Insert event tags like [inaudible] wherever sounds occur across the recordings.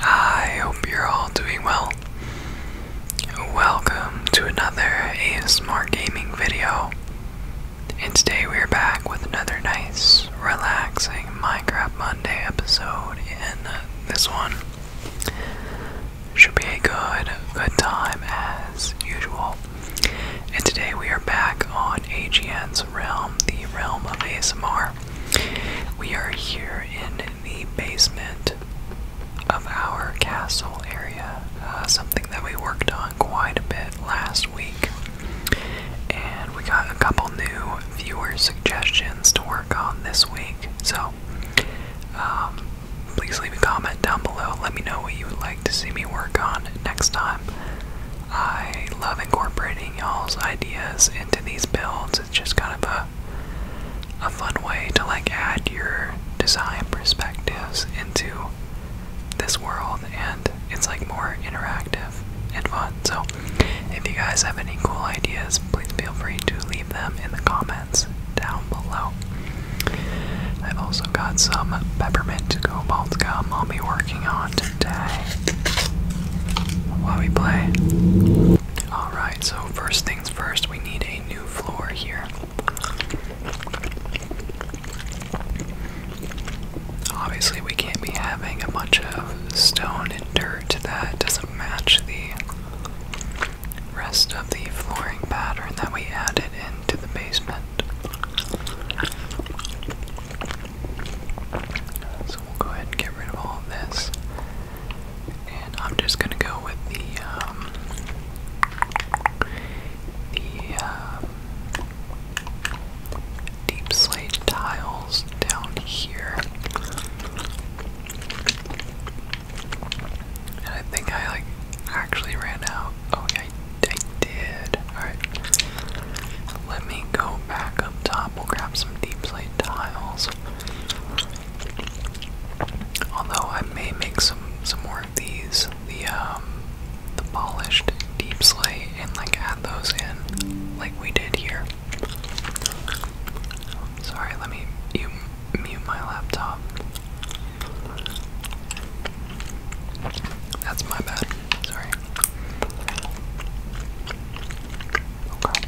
I hope you're all doing well. Welcome to another ASMR gaming video. And today we are back with another nice, relaxing Minecraft Monday episode. And this one should be a good, good time as usual. And today we are back on AGN's realm, the realm of ASMR. We are here in the basement of our castle area, uh, something that we worked on quite a bit last week. And we got a couple new viewer suggestions to work on this week. So um, please leave a comment down below. Let me know what you would like to see me work on next time. I love incorporating y'all's ideas into these builds. It's just kind of a a fun way to like add your design perspectives into this world and it's like more interactive and fun. So if you guys have any cool ideas, please feel free to leave them in the comments down below. I've also got some peppermint to-go cobalt gum I'll be working on today while we play. Alright, so first thing first, we need a new floor here. Obviously, we can't be having a bunch of stone and dirt that doesn't match the rest of the flooring pattern that we added into the basement we'll go ahead and get rid of all of this. And I'm just gonna go with the um, the um, deep slate tiles down here. I think I like actually ran out. Oh yeah, I did. Alright. Let me go back up top. We'll grab some deep slate tiles. Although I may make some some more of these, the um, the polished deep slate and like add those in like we did here. Sorry, let me you mute my laptop. That's my bad. Sorry. Okay.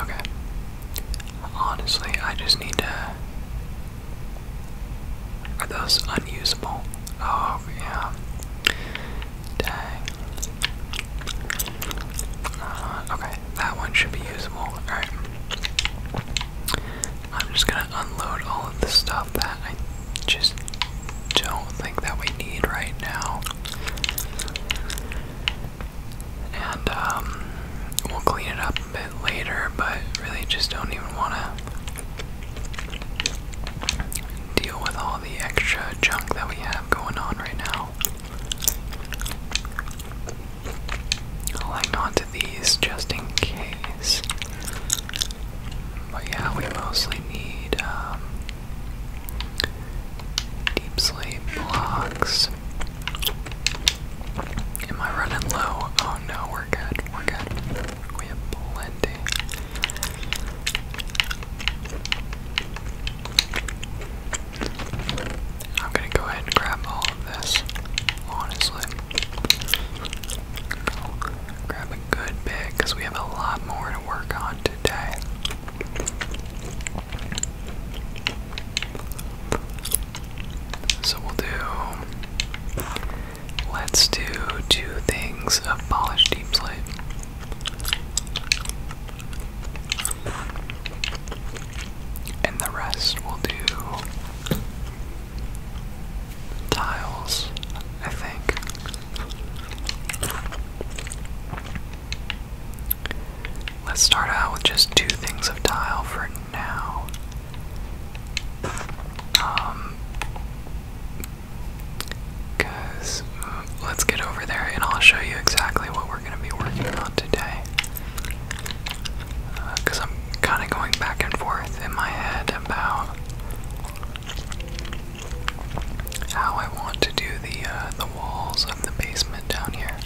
Okay. Honestly, I just need to. Are those unusable? Oh, yeah. Dang. Uh, okay, that one should be usable. Alright. I'm just gonna unload all of the stuff that I just don't think that we need right now. And um we'll clean it up a bit later, but really just don't even wanna deal with all the extra junk that we have going on right now. I'll hang to these just in case. But yeah, we mostly need um, deep sleep blocks. Am I running low? Oh no, we're good. We're good. We have plenty. I'm gonna go ahead and grab all of this, honestly. Grab a good bit because we have a lot more to work on today. So we'll do. Let's do two things of polished deep slate. And the rest will do tiles, I think. Let's start out with just two things of tile for now. Um, mm, let's get over there and I'll show you exactly what we're we're going to be working on today. Because uh, I'm kind of going back and forth in my head about how I want to do the uh, the walls of the basement down here.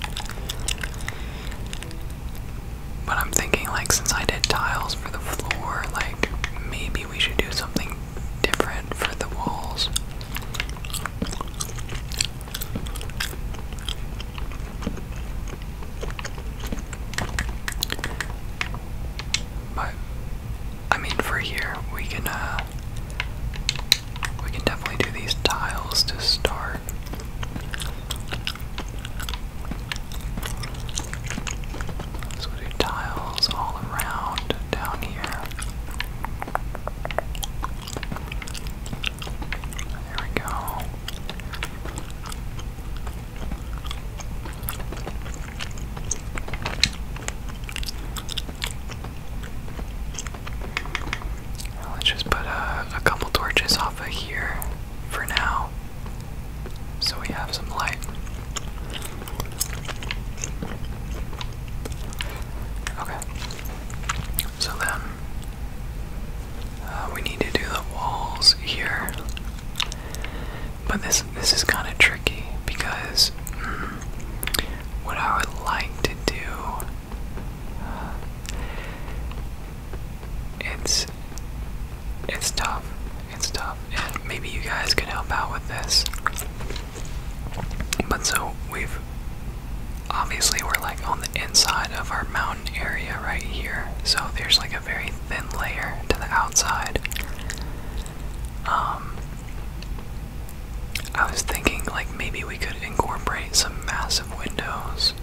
But I'm thinking, like, since I did tiles for the floor, like, maybe we should do something different for the walls. But I mean, for here we can uh, we can definitely do these tiles to start. So we'll tiles all around down here. There we go. let's just put a couple torches off of here for now so we have some light. Okay. So then uh, we need to do the walls here. But this this is kind of tricky because hmm, what I would like to do uh, it's it's tough. It's tough. And maybe you guys can help out with this. But so we've obviously we're like on the inside of our mountain area right here, so there's like a very thin layer to the outside. Um, I was thinking like maybe we could incorporate some massive windows.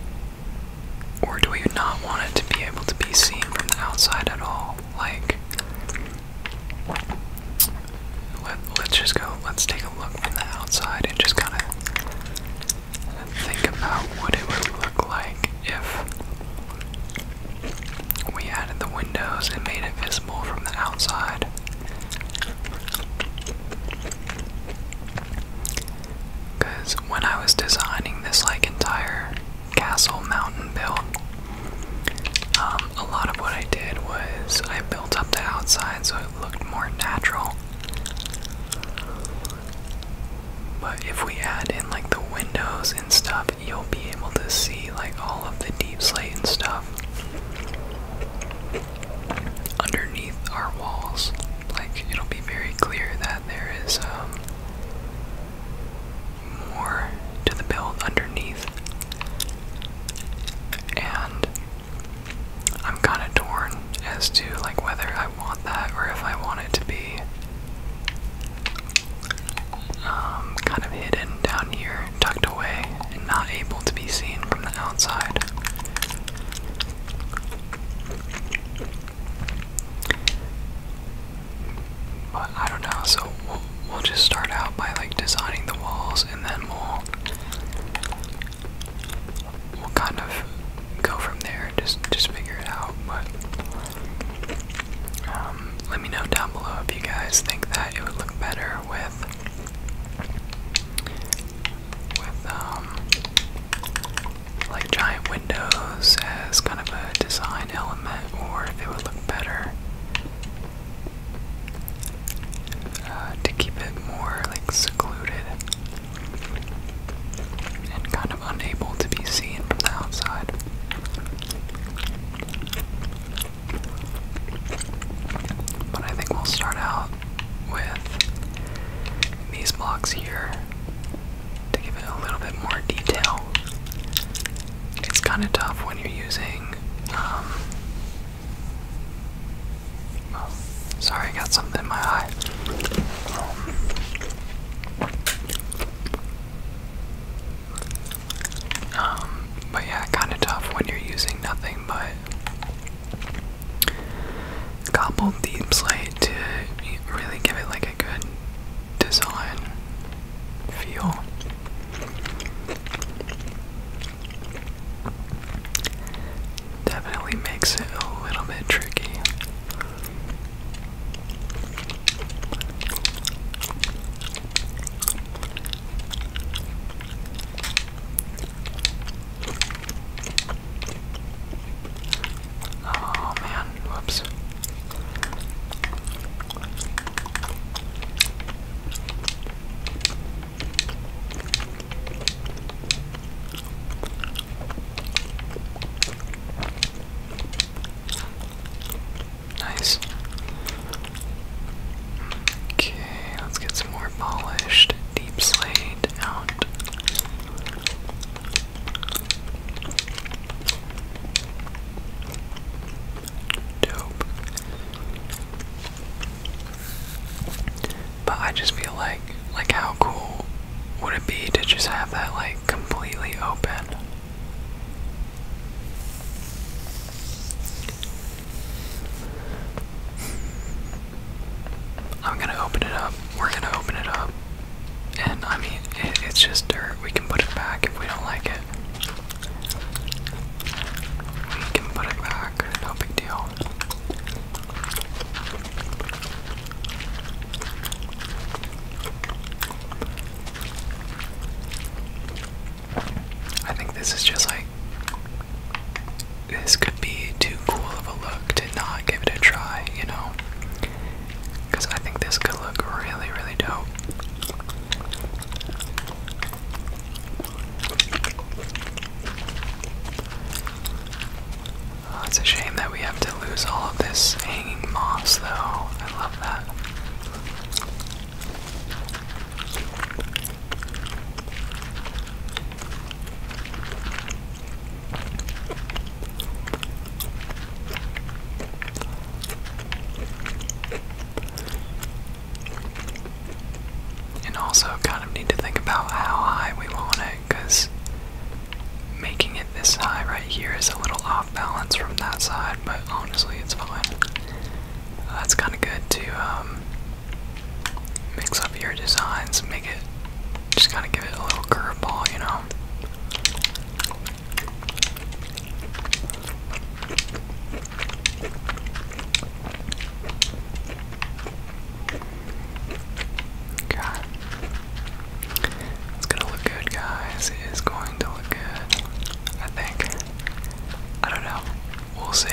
Or do we not want it to be able to be seen from the outside at all? Like, let, let's just go, let's take look from the outside and just kind of think about what it would look like if we added the windows and made it visible from the outside. Because when I was designing this like entire castle mountain built, um, a lot of what I did was I built up the outside so it looked more natural. But if we add in like the windows and stuff, you'll be able to see like all of the deep slate and stuff underneath our walls. Like it'll be very clear that there is um, more to the build underneath. And I'm kind of torn as to like whether I want that or if I want it to be um, kind of hidden down here, tucked away, and not able to be seen from the outside. But I don't know, so we'll just start out by like designing the walls and then we'll we'll kind of go from there just just figure it out but um, let me know down below if you guys think that it would look better with with um like giant windows as kind of a design element or if it would look better uh, to keep it more like secluded and kind of unable to be seen from the outside. But I think we'll start out with these blocks here to give it a little bit more detail. It's kind of tough when you're using um, sorry, I got something in my eye. Um, but yeah, kind of tough when you're using nothing but cobbled deep slate to really give it like a good design feel. Definitely makes it a little bit tricky. Oh man, whoops. Nice. Okay, let's get some more polished deep slate out dope. But I just feel like, like how cool would it be to just have that like completely open? I'm gonna open it up. We're gonna open it up. And I mean, it's just dirt. We can put it back if we don't like it. We can put it back, no big deal. I think this is just like. This could be too cool of a look to not give it a try, you know? Because I think this could look really, really dope. Oh, it's a shame that we have to lose all of this hanging moss, though. I love that. And also, kind of need to think about how high we want it, because making it this high right here is a little off balance from that side, but honestly, it's fine. That's kind of good to um, mix up your designs, make it just kind of give it a little curveball, you know. God. It's gonna look good, guys. It is going to look good. I think. I don't know. We'll see.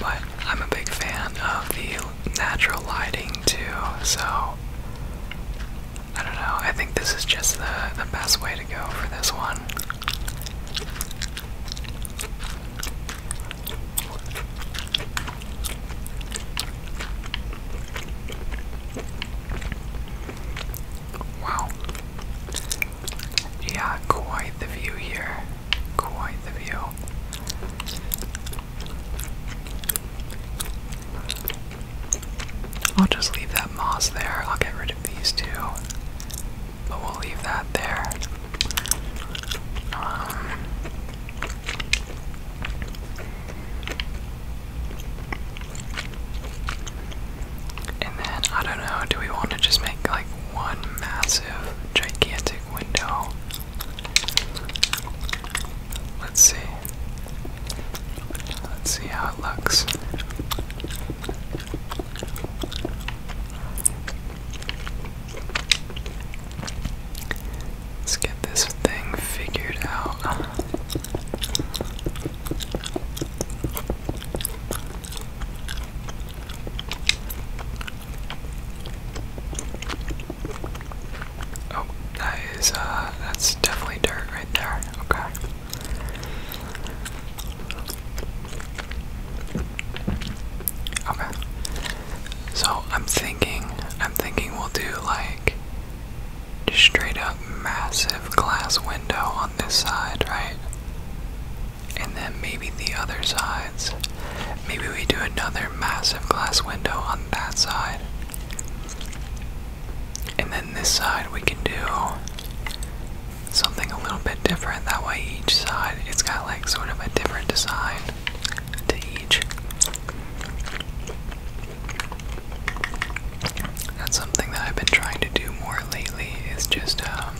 But I'm a big fan of the natural lighting too, so I don't know. I think this is just the the best way to go for this one. Wow. Yeah, quite the view here. Quite the view. I'll just leave that moss there. I'll get rid of these two. But we'll leave that there. and then, I don't know, do we want to just make like one massive, gigantic window? Let's see. Let's see how it looks. Let's get this thing figured out. Oh, that is, uh, that's definitely dirt right there. Okay. Okay. So I'm thinking, I'm thinking we'll do like just straight up massive glass window on this side, right? And then maybe the other sides. Maybe we do another massive glass window on that side. And then this side we can do something a little bit different. That way each side it's got like sort of a different design to each. That's something that I've been trying to do more lately is just um,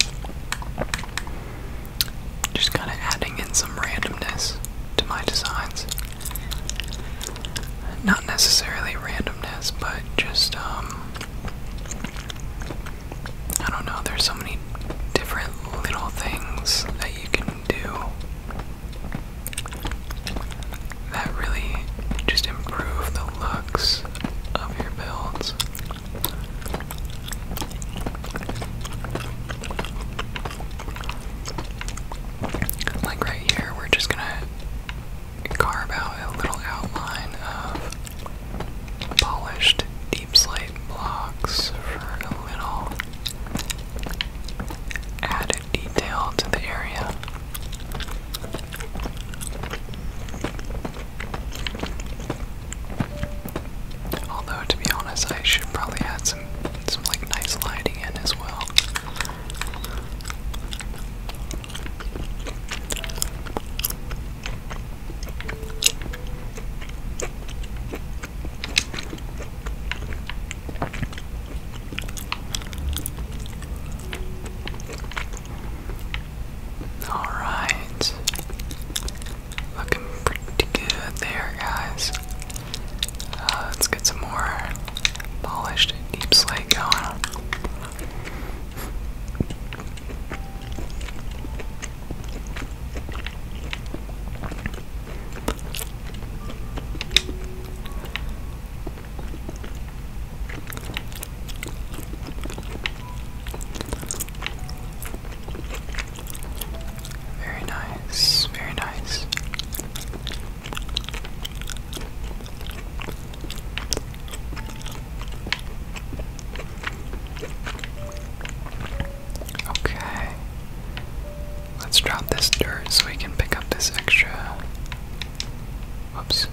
just kind of adding in some randomness to my designs not necessarily randomness, but just um, I don't know, there's so many different little things that you can do that really just improve the looks of your builds. Like right here, we're just gonna carve out a little outline of polished deep slate blocks for a little added detail to the area. Although to be honest, I should probably add some some like nice lighting in as well. All right. Looking pretty good there, guys. Uh, let's get some more polished Deep slay going. Very nice, very nice. Okay. Let's drop this dirt so we can pick up this extra. Whoops.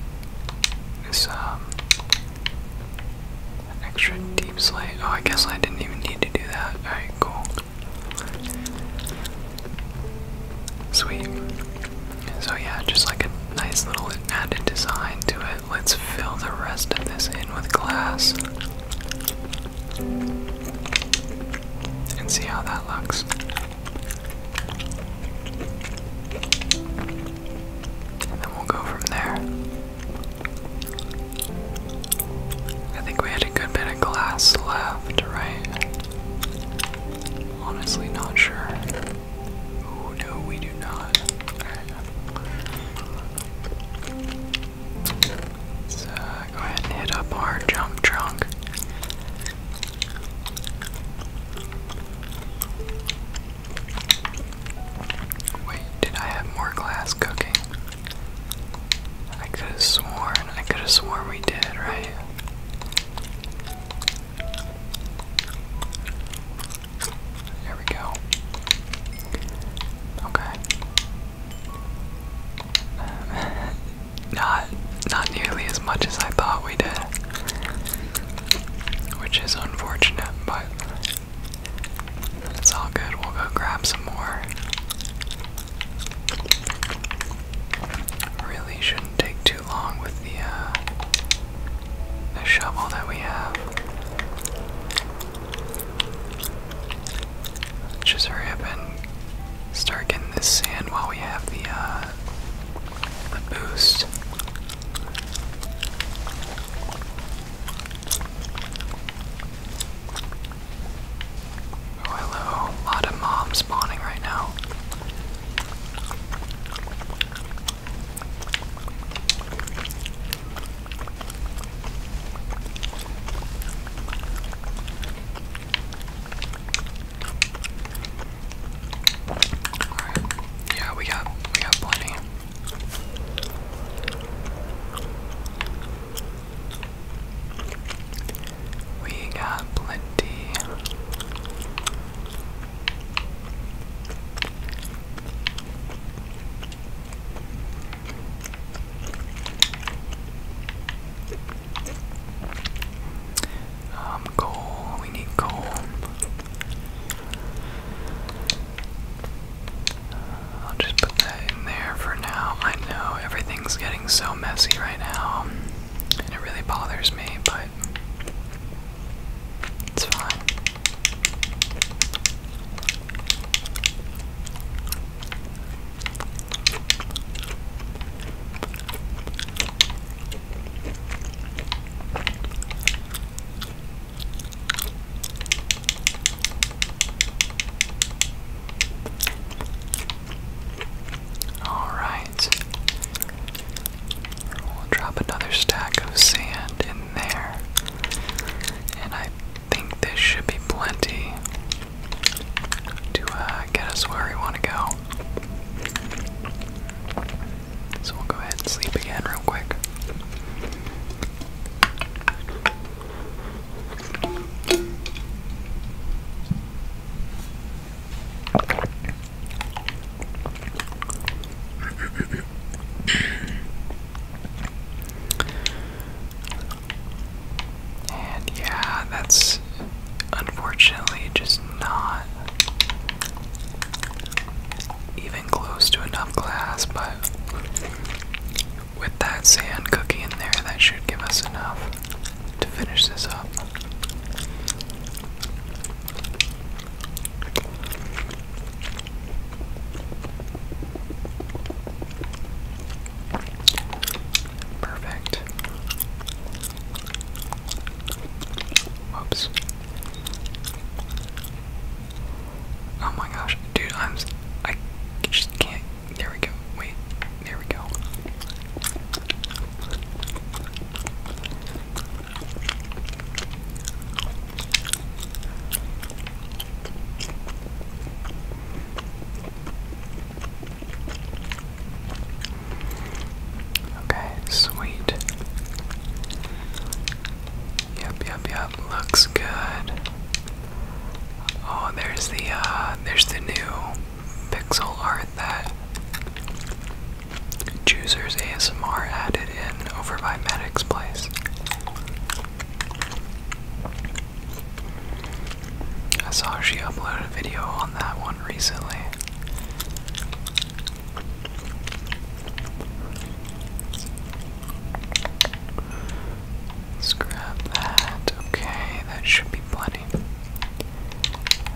This, um. Extra deep slate. Oh, I guess I didn't even need to do that. Alright, cool. Sweet. So yeah, just like a nice little added design to it. Let's fill the rest of this in with glass. And see how that looks. then we'll go from there. I think we had a good bit of glass left, right? Honestly, not sure. Oh no, we do not. let go ahead and hit up our jump trunk. Wait, did I have more glass cooking? I could have sworn, I could have sworn we did, right? There we go. Okay. [laughs] not not nearly as much as I thought we did. Which is unfortunate, but it's all good. We'll go grab some more. Really shouldn't take too long with the, uh, the shovel that we have. just hurry up and start getting this sand while we have the, uh, the boost. Oh, hello. A lot of mobs spawning right now. Yeah, we got we got plenty. We got plenty. Um, coal, we need coal. I'll just put that in there for now. I know everything's getting so messy right now it really bothers me, but it's fine. Alright. We'll drop another stack of sand in there. And I think this should be plenty to uh, get us where we want to go. So we'll go ahead and sleep again, real quick and yeah, that's unfortunately just not even close to enough glass, but with that sand cookie in there, that should give us enough to finish this up. Perfect. Whoops. Oh my gosh, dude, I'm I just can't there we go. Wait. There we go. Okay, sweet. Yep, yep, yep. Looks good. Oh, there's the uh there's the new pixel art that Choosers ASMR added in over by Medic's Place. I saw she uploaded a video on that one recently. let that. Okay, that should be plenty.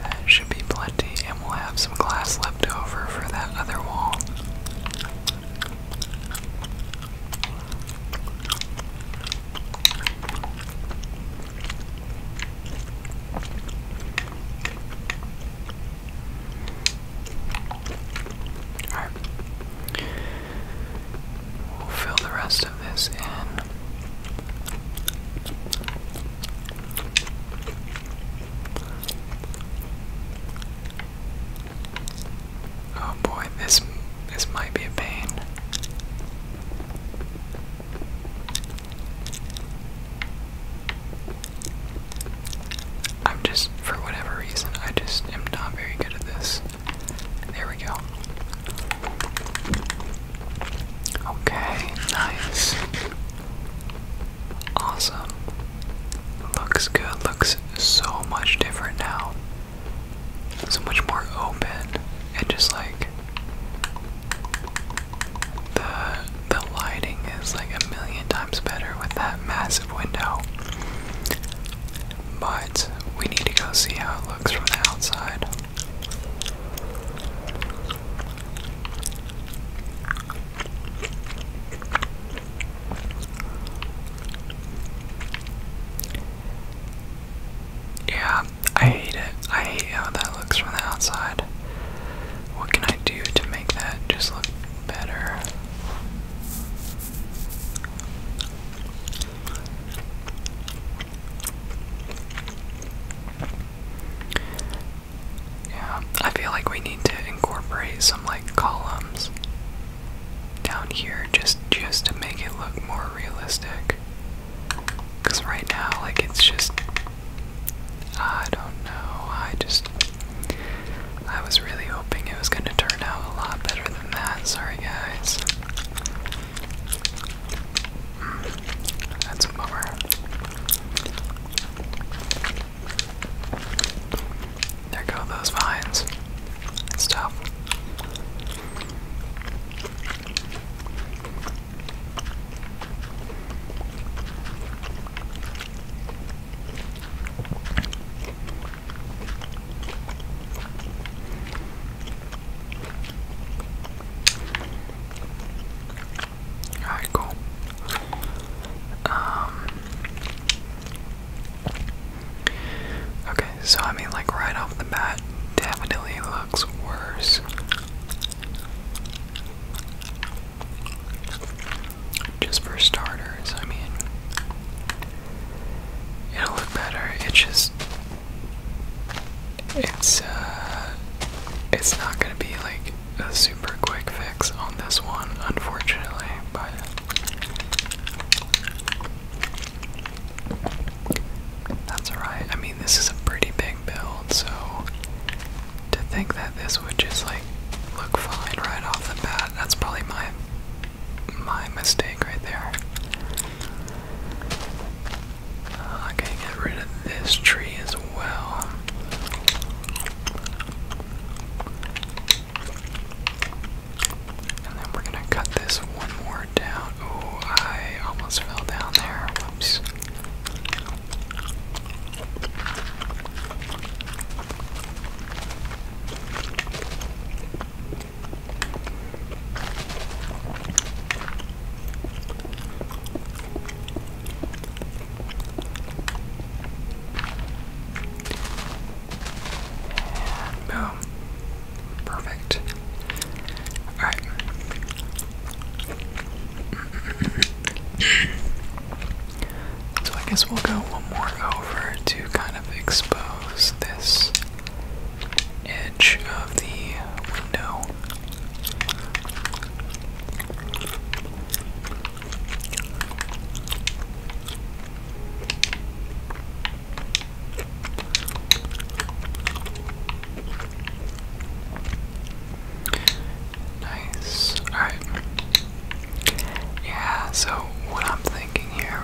That should be plenty, and we'll have some glass left over for that other wall. All right. We'll fill the rest this in. Oh boy, this this might be a pain. I'm just for whatever reason, I just am not very good at this. There we go. Okay, nice. Awesome. Looks good, looks so much different now. So much more open and just like the the lighting is like a million times better with that massive window but we need to go see how it looks from the outside. Yeah, I hate it. I hate how that looks from the outside. What can I do to make that just look better? Yeah, I feel like we need to incorporate some like columns down here just just to make it look more realistic. Cause right now like it's just I don't know. I just I was really hoping it was gonna turn out a lot better than that. Sorry guys that's bummer. There go those vines. It's tough. Alright, cool. Um, okay, so I mean like right off the bat definitely looks worse. Just for starters, I mean it'll look better. It's just it's uh it's not gonna be like a super quick fix on this one, unfortunately, but that's alright. I mean this is a pretty big build, so to think that this would just like look fine right off the bat, that's probably my my mistake right there. Uh, get rid of this tree as well. And then we're gonna cut this one more down. Oh, I almost fell down there. Whoops boom. Perfect. Alright. [clears throat] so I guess we'll go one more over to kind of expose this edge of the window. Nice. Alright. Yeah, so what I'm thinking here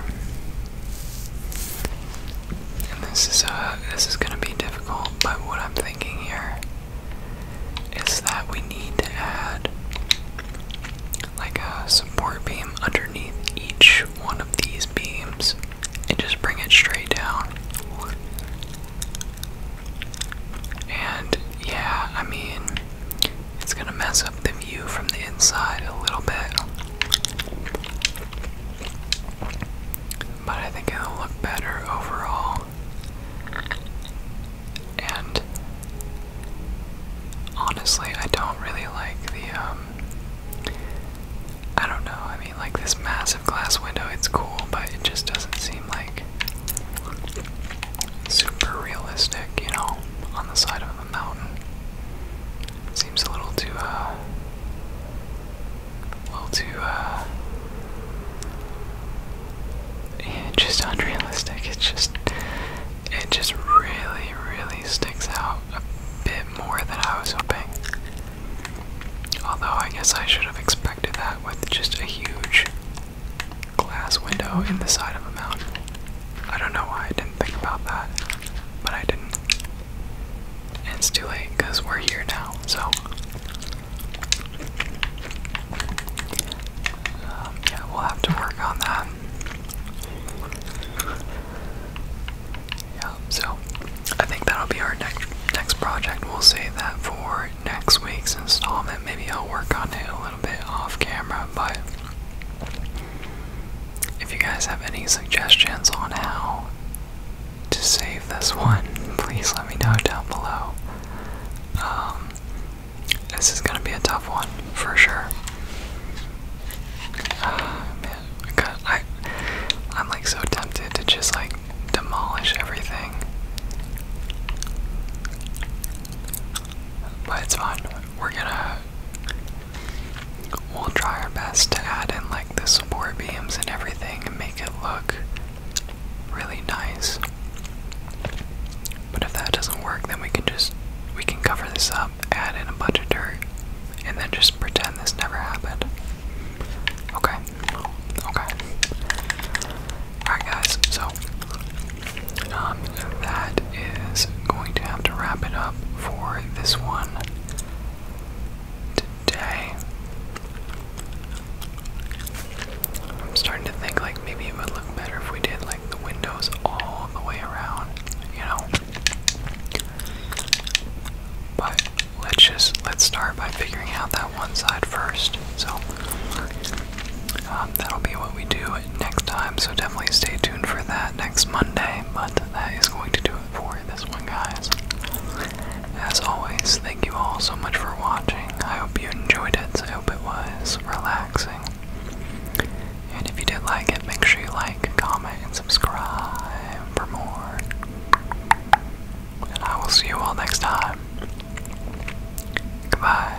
this is uh this is gonna be difficult, but what I'm thinking here is that we need to add like a support beam underneath each one of these beams and just bring it straight down. And yeah, I mean, it's gonna mess up the view from the inside a little bit. But I think it'll look better overall. And honestly, I don't really like the, um, I don't know, I mean, like this massive glass window, it's cool, but it just doesn't seem like super realistic, you know, on the side of a mountain. Seems a little too, uh, a little too, uh, yeah, just unrealistic. It's just, it just really, really sticks out a bit more than I was hoping. Although I guess I should have expected that with just a huge glass window in the side of a mountain. I don't know why I didn't think about that, but I didn't. it's too late because we're here now, so. Um, yeah, we'll have to work on that. Yeah, so I think that'll be our next next project. We'll save that for next week's installment. Maybe I'll work on it a little bit off camera, but if you guys have any suggestions on how to save this one, [laughs] please let me know down below. Um, this is gonna be a tough one for sure. Ah, man, I, I'm like so tempted to just like demolish everything, but it's fine. We're gonna We'll try our best to add in like the support beams and everything and make it look really nice. But if that doesn't work, then we can just we can cover this up, add in a bunch of dirt, and then just pretend this never happened. Okay. Okay. Alright guys, so um, that is going to have to wrap it up for this one today. I'm starting to think like maybe it would look better if we did like the windows all the way around, you know. But let's just let's start by figuring out that one side first. So um, that'll be what we do next time, so definitely stay tuned for that next Monday. But that is going to do it for this one, guys. As always, thank you all so much for watching. I hope you enjoyed it. I hope it was relaxing. And if you did like it, make sure you like, comment, and subscribe for more. And I will see you all next time. Goodbye.